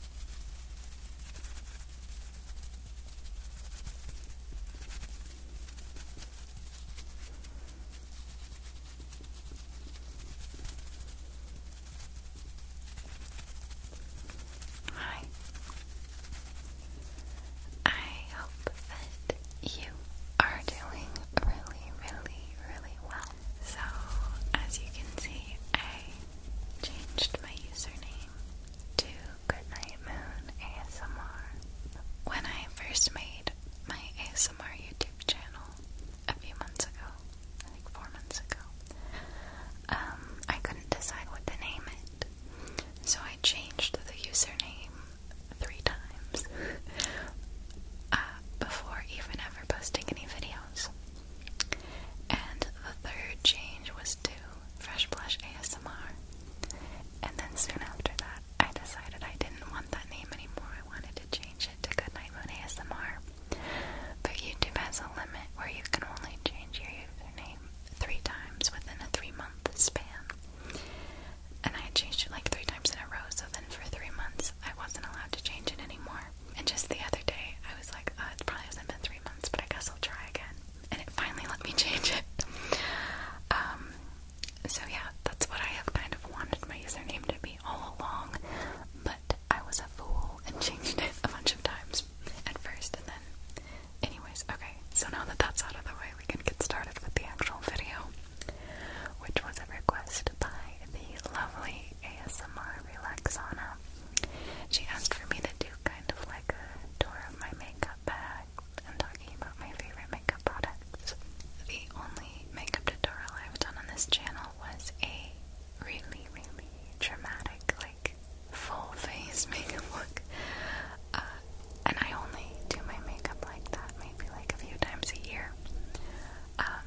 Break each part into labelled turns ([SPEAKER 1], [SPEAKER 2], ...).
[SPEAKER 1] Hi. I hope that you are doing really, really, really well. So, as you can see, I changed my username to Goodnight Moon ASMR. When I first made my ASMR YouTube channel a few months ago, I four months ago, um, I couldn't decide what to name it. So I changed the username three times uh, before even ever posting any videos. And the third change was to Fresh Blush ASMR. And then soon after that, I decided I didn't want that name anymore. I wanted to change it to Goodnight Moon ASMR. But YouTube has a limit where you can only change your username three times within a three month span. And I had changed it like three times in a row, so then for three months I wasn't allowed to change it anymore. And just the other day, I was like, uh, "It probably hasn't been three months, but I guess I'll try again. And it finally let me change it. Um, so yeah, that's what I have kind of wanted my username to be all along, but I was a fool and changed it a bunch of times at first, and then, anyways, okay. So now that that's out of the way, we can get started with the actual video, which was a request by the lovely ASMR Relaxana. She asked for me to do kind of like a tour of my makeup bag and talking about my favorite makeup products. The only makeup tutorial I've done on this channel was a really, really dramatic, like full face makeup look. Uh, and I only do my makeup like that maybe like a few times a year. Um,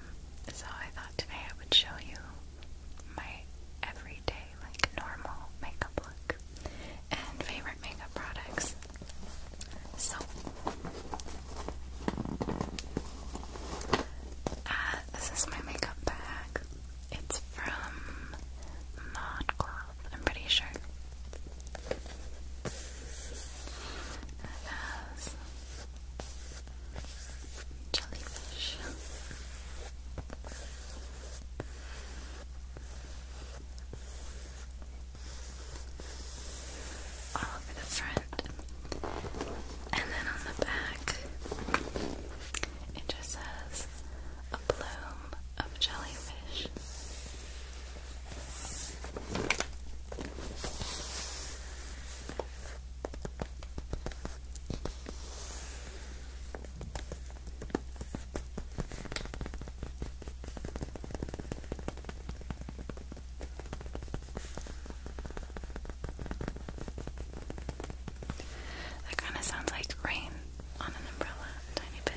[SPEAKER 1] so I thought today I would show you my everyday, like normal makeup look and favorite makeup products. So, uh, this is my makeup bag. It's from Modcloth, I'm pretty sure. It has jellyfish. All over the front, and then on the back, it just says a plume of jellyfish. That kind of sounds like rain on an umbrella, tiny bit.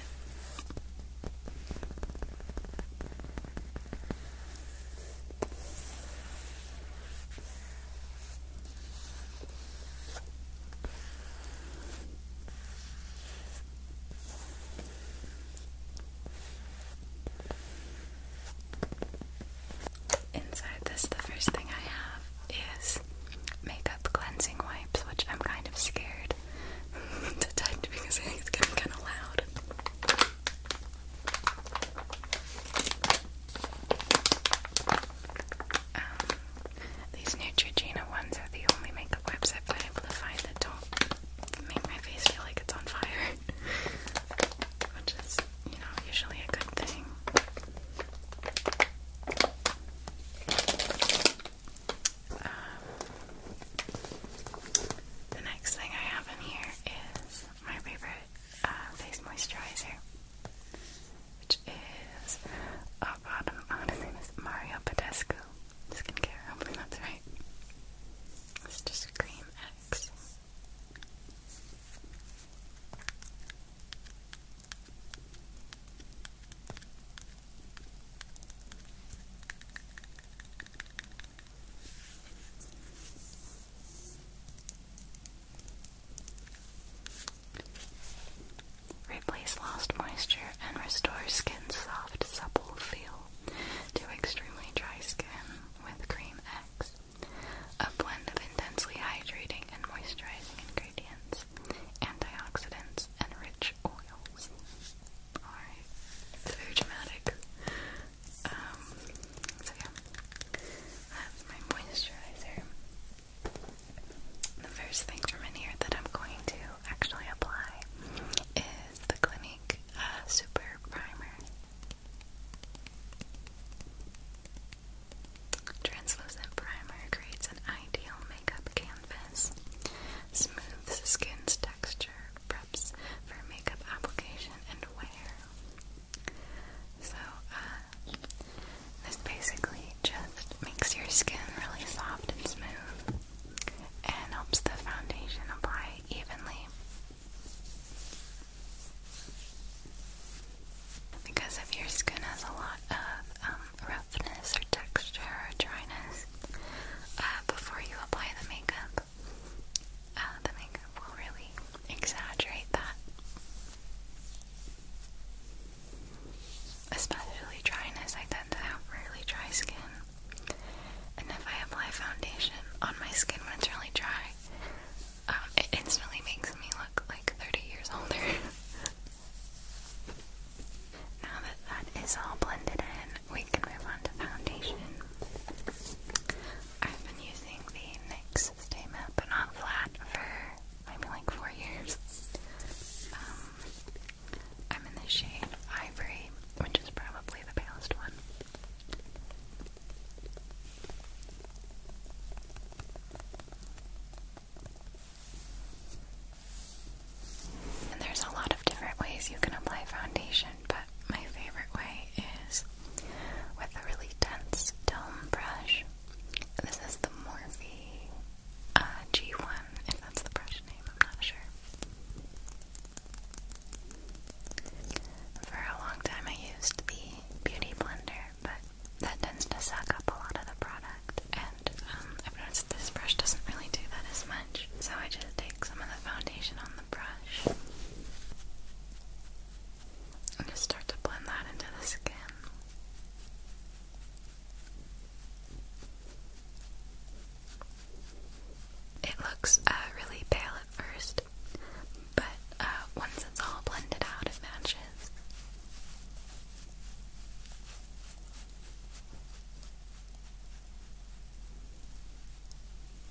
[SPEAKER 1] Inside this, the first thing I have is makeup cleansing wipes, which I'm kind of scared to touch because I think it's getting kind of loud. Um, these Neutrogena ones are the only makeup website I've able to find that don't make my face feel like it's on fire. Which is, you know, usually a good thing. Um, the next thing I have in here is my favorite uh, face moisturizer, which is oh god, his name is Mario Badescu skincare. Hopefully that's right. It's just Cream X. Replace lost moisture and restore skin's soft, supple feel to extremely dry skin with Cream X, a blend of intensely hydrating and moisturizing ingredients, antioxidants, and rich oils. Alright, it's very dramatic. Um, so yeah, that's my moisturizer. The first thing from in here that I'm going to actually apply is the Clinique uh, Super Primer. Translucent primer creates an ideal makeup canvas. Smooths skin's texture, preps for makeup application and wear. So, uh, this basically just makes your skin really soft and smooth and helps the foundation apply evenly. Because if your skin has a lot of um, roughness or texture or dryness uh, before you apply the makeup, uh, the makeup will really exaggerate that. Especially dryness, I tend to have really dry skin. And if I apply foundation on my skin when it's really dry, um, it instantly makes me look like 30 years older. now that that is all blended in, we can move on to foundation. I've been using the NYX use but not flat for maybe like four years. Um, I'm in the shade Ivory, which is probably the palest one. And there's a lot of different ways you can apply foundation but my favorite way is with a really dense dome brush. This is the Morphe uh, G1, if that's the brush name, I'm not sure. For a long time I used the Beauty Blender, but that tends to suck up a lot of the product, and um, I've noticed this brush doesn't really do that as much, so I just take some of the foundation on the brush and just start to blend that into the skin. It looks uh, really pale at first, but uh, once it's all blended out, it matches.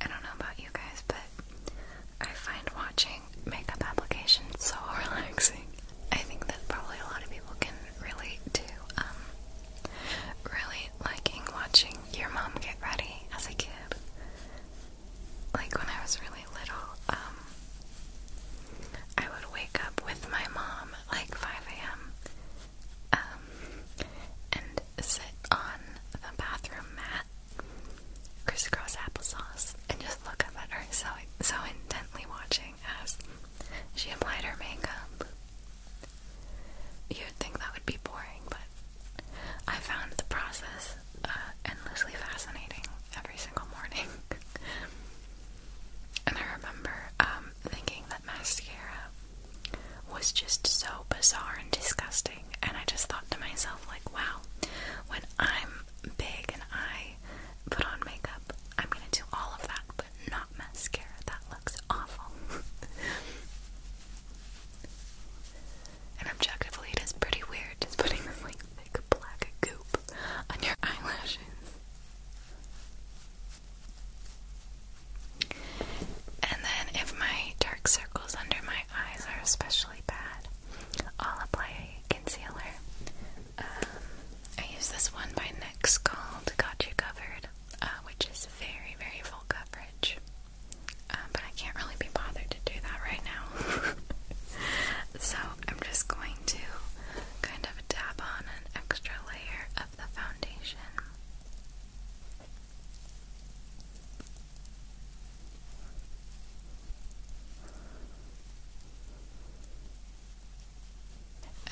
[SPEAKER 1] I don't know about you guys, but I find watching makeup applications so relaxing. I think that probably a lot of people can relate to um, really liking watching your mom get ready as a kid. Like when I was really little, um, I would wake up with my mom like 5 a.m. Um, and sit on the bathroom mat, crisscross applesauce, and just look at her so so intently watching as she applied her makeup. You'd think that would be boring, but I found the process uh, endlessly fascinating every single morning. And I remember um, thinking that mascara was just so bizarre and disgusting. And I just thought to myself, like, wow, when I'm big and I put on makeup, I'm gonna do all of that, but not mascara. That looks awful. and objectively, it is pretty weird just putting this like thick black goop on your eyelashes. And then, if my dark circles under my eyes are especially bad, I'll apply concealer. Um, I use this one by NYX called Got You Covered, uh, which is very, very full coverage. Uh, but I can't really be bothered to do that right now. so I'm just going to kind of dab on an extra layer of the foundation.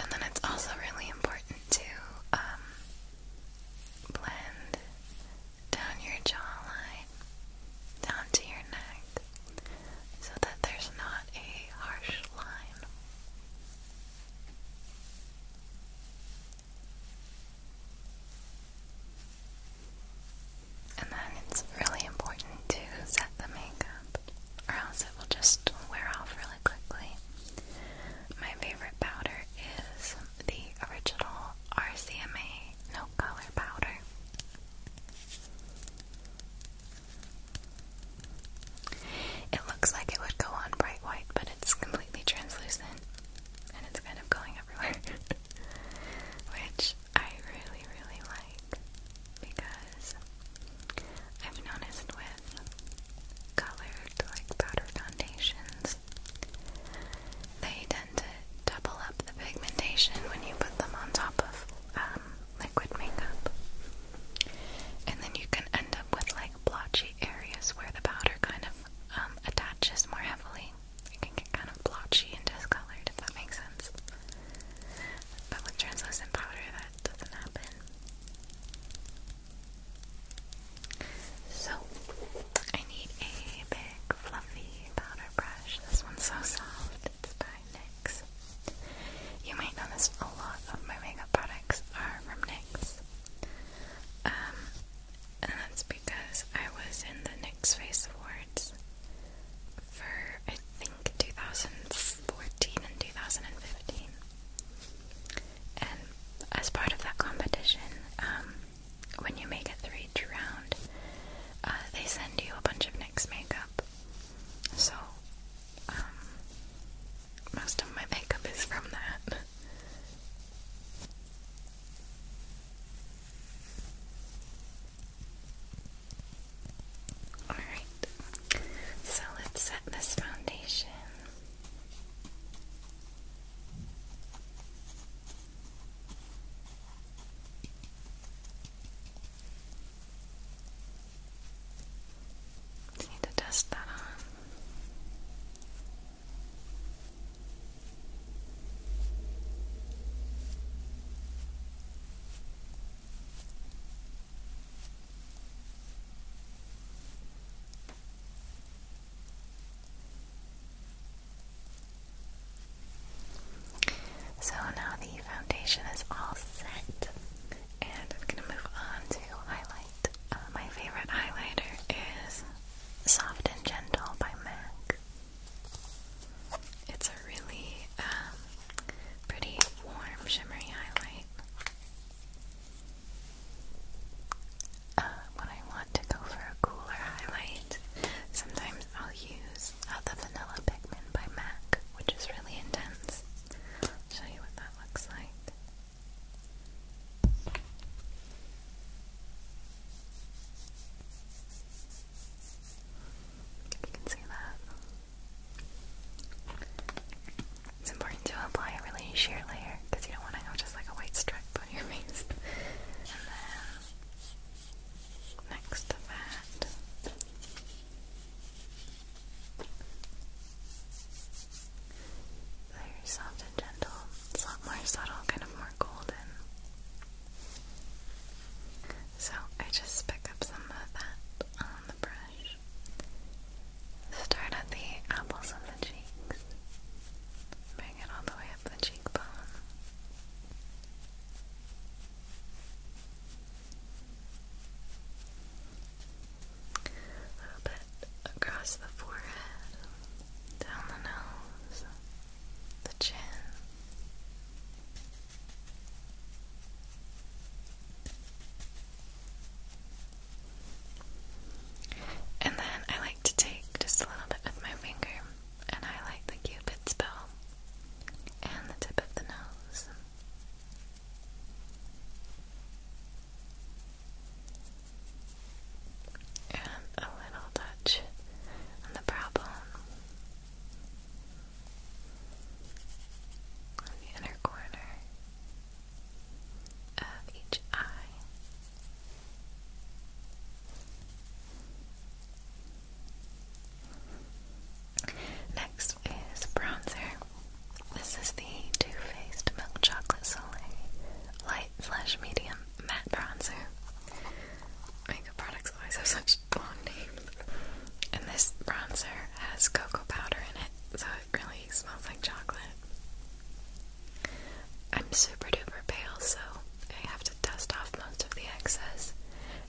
[SPEAKER 1] And then it's also really important to um, blend down your jawline, down to your neck, so that there's not a harsh line. And then it's really important to set the makeup, or else it will just wear off really quickly. My favorite powder is the original RCMA No Color Powder. It looks like it would go on bright white, but it's completely translucent and it's kind of going everywhere. Which I really, really like because I've noticed with colored like powder foundations, they tend to double up the pigmentation when you put them on top of um, liquid makeup. And then you can end up with like blotchy areas where the powder kind of um, attaches more heavily. It can get kind of blotchy and discolored, if that makes sense. But with translucent powder, that doesn't happen. So, I need a big fluffy powder brush. This one's so soft. It's by NYX. You might notice a lot of my makeup products are from NYX. Um, and that's because I was in the NYX Face Awards for, I think, 2014 and 2015. And as part of that competition, um, when you make it through each round, uh, they send you a bunch of NYX makeup. So um, most of my makeup is from that. Alright, so let's set this foundation need to dust that on. So now the foundation is all set. And I'm gonna move on to highlight. Uh, my favorite highlighter is Soft and Gentle by MAC. It's a really um, pretty warm, shimmery highlight. Uh, when I want to go for a cooler highlight, sometimes I'll use uh, the Vanilla Pigment by MAC, which is really intense. I'll show you what that looks like. You can see that. It's important to apply a really sheer layer because you don't want to have just like a white stripe on your face. and then next to that, very soft and gentle. It's a lot more subtle, kind of more golden. So I just pick up some of that on the brush. Start at the apples of the cheeks. Bring it all the way up the cheekbone. A little bit across the forehead, down the nose, the chin. And then I like to take just a little bit with my finger and I like the cupid's bow and the tip of the nose. And a little touch on the brow bone, on the inner corner of each eye. Next is bronzer. This is the Too Faced Milk Chocolate Soleil Light Slash Medium Matte Bronzer. Makeup products always have such long names. And this bronzer has cocoa powder in it, so it really smells like chocolate. I'm super duper pale, so I have to dust off most of the excess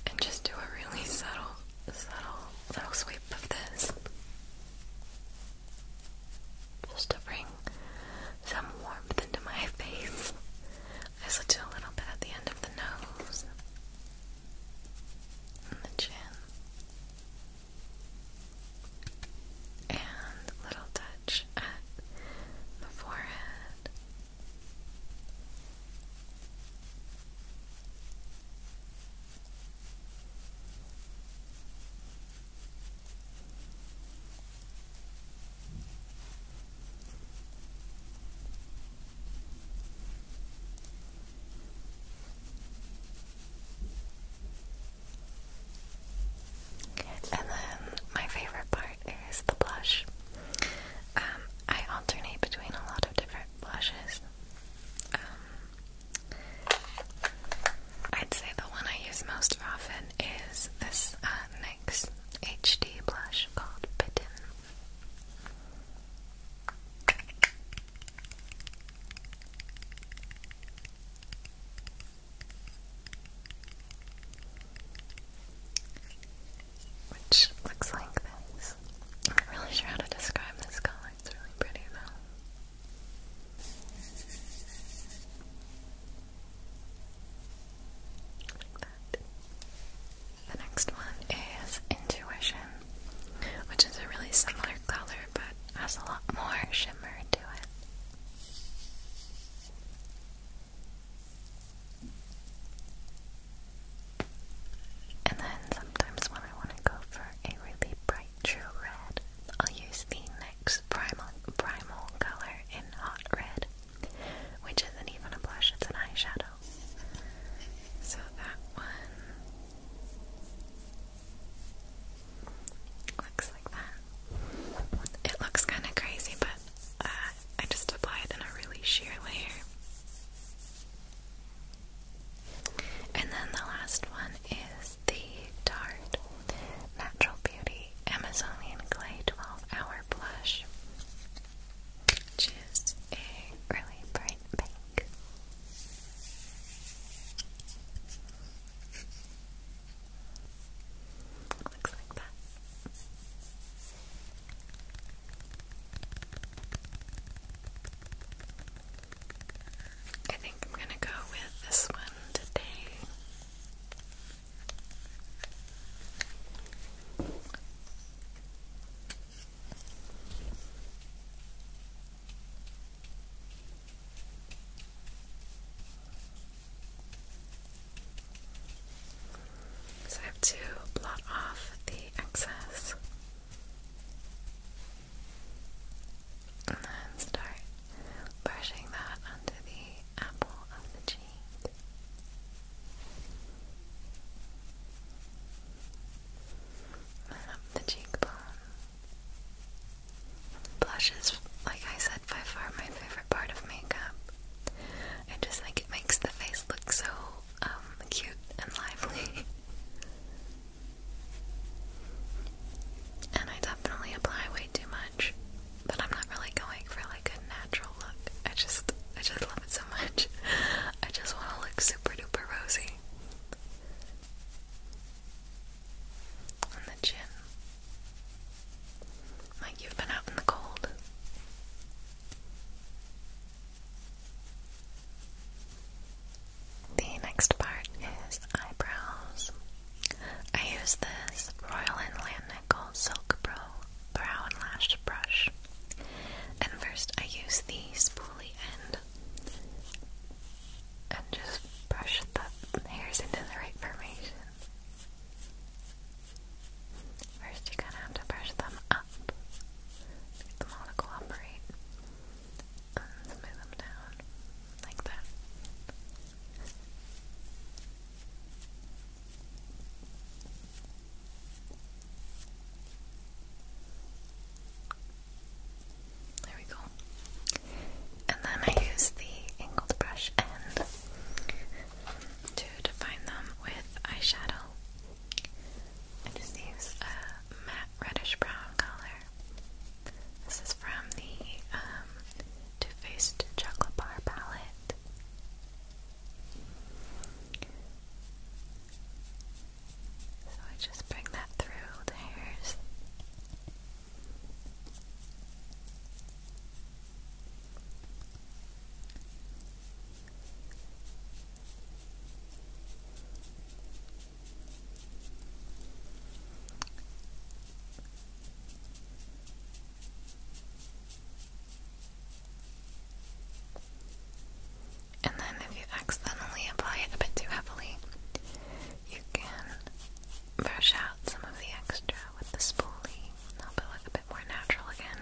[SPEAKER 1] and just do a really subtle, subtle little sweep of this just to bring some warmth into my face. I also do a little bit at the end of the nose the chin. And a little touch at the forehead and then my favorite part is the blush. Um, I alternate between a lot of different blushes. Um, I'd say the one I use most often is this uh, NYX HD blush called Bitten. Which looks like this. I'm not really sure how to describe this color. It's really pretty though. The next one is Intuition, which is a really similar color but has a lot more shimmer to it. And then sometimes when I want to go for a really bright true red, I'll use the NYX Primal, Primal color in Hot Red, which isn't even a blush, it's an eyeshadow. So that one looks like that. It looks kind of crazy, but uh, I just apply it in a really sheer layer. And then the last one is the Tarte Natural Beauty Amazonian Clay 12 Hour Blush, which is a really bright pink. Looks like that. I think I'm gonna go with this one today. So I have to blot off the excess and then start brushing that onto the apple of the cheek. And the cheekbone. Blush is, like I said, by far my favorite part of makeup. I just think it makes the face look so um, cute and lively. and I definitely apply way too much, but I'm not really going for like a natural look. I just, I just love it so much. I just want to look super duper rosy. On the chin. Like you've been out in the cold. The next part is eyebrows. I use this Royal Inland Silk Pro Brow and Lash Brush. And first I use the spoolie end and just brush the hairs into the right formation. First, you're have to brush them up, get them all to cooperate, and smooth them down like that. There we go. And then I use the angled brush end to define them with eyeshadow. I just use a matte reddish brown color. This is from the um, Too Faced Chocolate Bar palette. So I just bring that through the hairs. And then, if you accidentally apply it a bit too heavily, you can brush out some of the extra with the spoolie, and help it look a bit more natural again.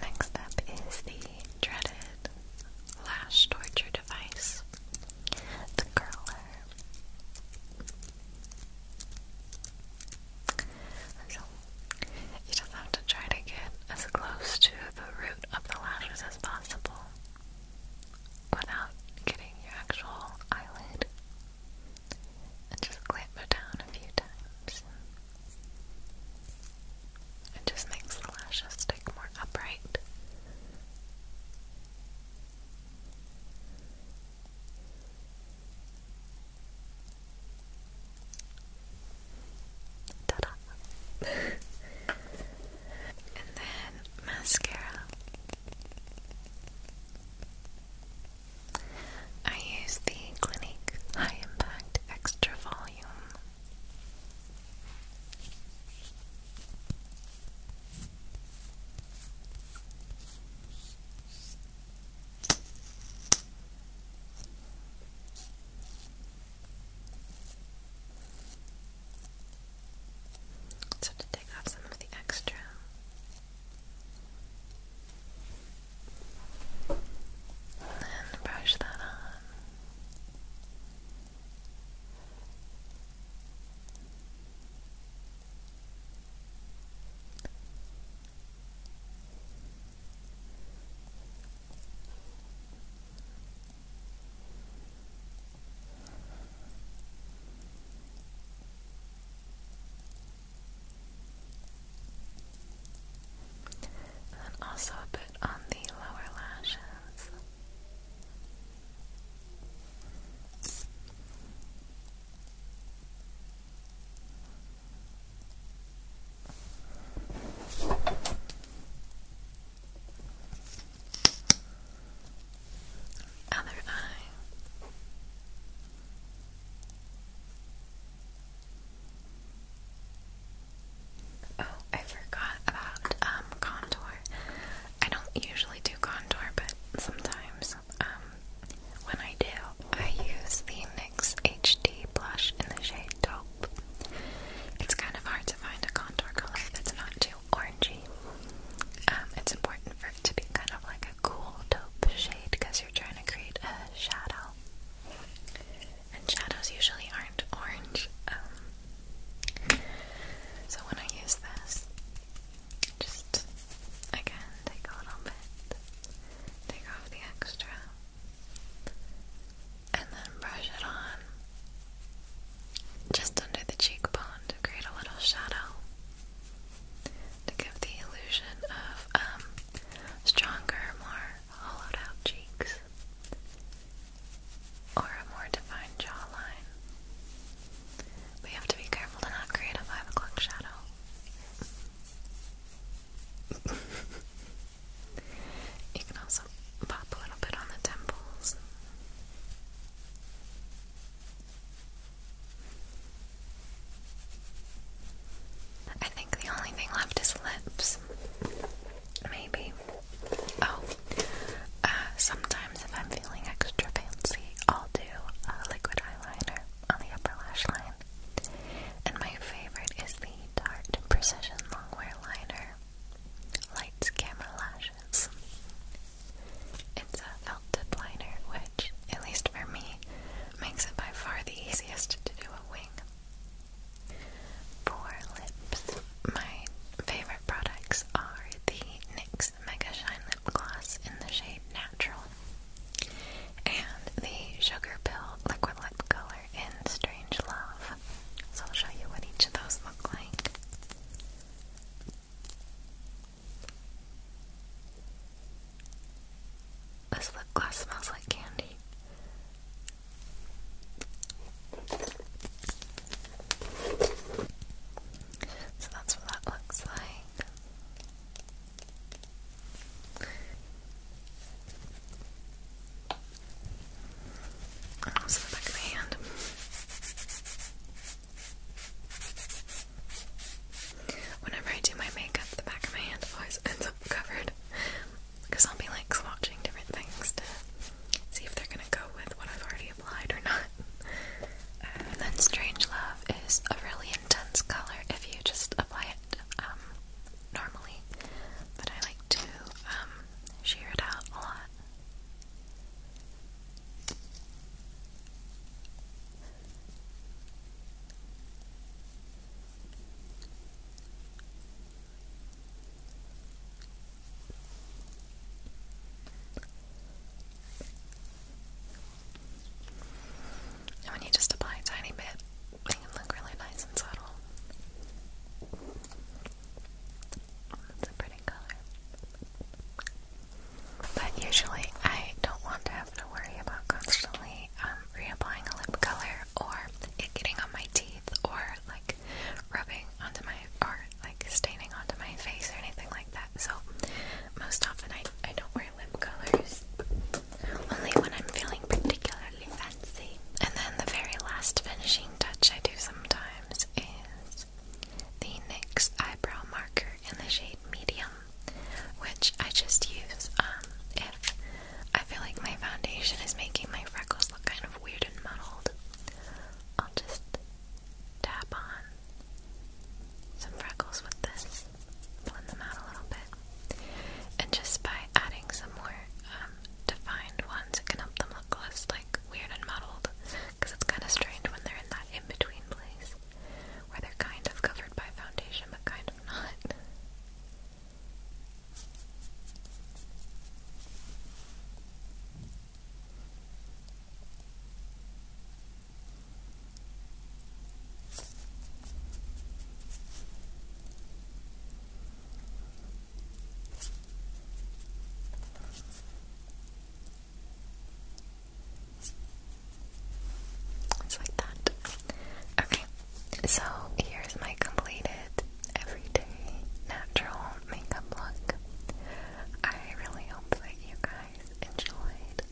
[SPEAKER 1] Next up is the dreaded lash torture device, the curler so you just have to try to get as close to the root of the lashes as possible without getting your actual eyelid. And just clamp it down a few times. It just makes the lashes stick more upright. Ta-da! and then mascara. I use the Clinique High Impact Extra Volume. So to take off some of the extra. And brush that on. And also a bit on the lower lashes. Other eye. Oh, I forgot about um contour. I don't usually do contour, but sometimes um when I do, I use the NYX HD blush in the shade Taupe. It's kind of hard to find a contour color that's not too orangey. Um, it's important for it to be kind of like a cool taupe shade because you're trying to create a shadow. And shadows usually aren't orange. Um, so when I use this, just again take a little bit take off the extra, and then brush it on just under the cheekbone to create a little shadow to give the illusion of um, stronger, more hollowed out cheeks or a more defined jawline. We have to be careful to not create a 5 o'clock shadow you can also pop a little bit on the temples. I think the only thing left is lips. Maybe. Oh, uh, sometimes if I'm feeling extra fancy, I'll do a liquid eyeliner on the upper lash line. And my favorite is the Tarte Precision Longwear Liner Lights Camera Lashes. It's a felt tip liner, which, at least for me, makes it by far the easiest to do a wing. For lips, my favorite products are the NYX Mega Shine Lip Gloss in the shade Natural and the Sugar Pill Liquid Lip Color in Strange Love. So I'll show you what each of those look like. This lip gloss smells like candy. So that's what that looks like. Also the back of the hand. Whenever I do my makeup, the back of my hand always ends up covered. Because I'll be like swatching different things to see if they're gonna go with what I've already applied or not. Uh, then Strange Love is a really intense color if you just apply it um, normally, but I like to um, sheer it out a lot. And when you just apply a tiny bit, they can look really nice and subtle. It's a pretty color. But usually I don't want to have to worry about constantly um, reapplying a lip color or it getting on my teeth or like rubbing onto my, or like staining onto my face or anything like that. So most often I, I don't wear lip colors. Only when I'm feeling particularly fancy. And then the very last finishing touch I do sometimes is the NYX eyebrow marker in the shade medium, which I just use um, if I feel like my foundation is making my freckles look kind of weird and muddled. I'll just tap on some freckles with this blend them out a little bit. And just by adding some more um, defined ones, it can help them look less like weird and muddled. Because it's kind of strange when they're in that in between place where they're kind of covered by foundation but kind of not. It's like that. Okay, so here's my completed everyday natural makeup look. I really hope that you guys enjoyed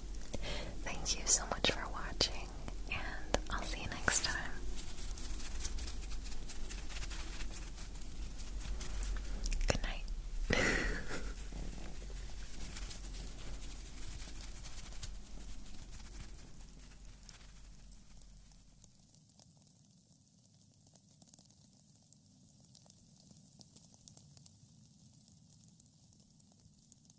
[SPEAKER 1] Thank you so much for watching, and I'll see you next time. Good night.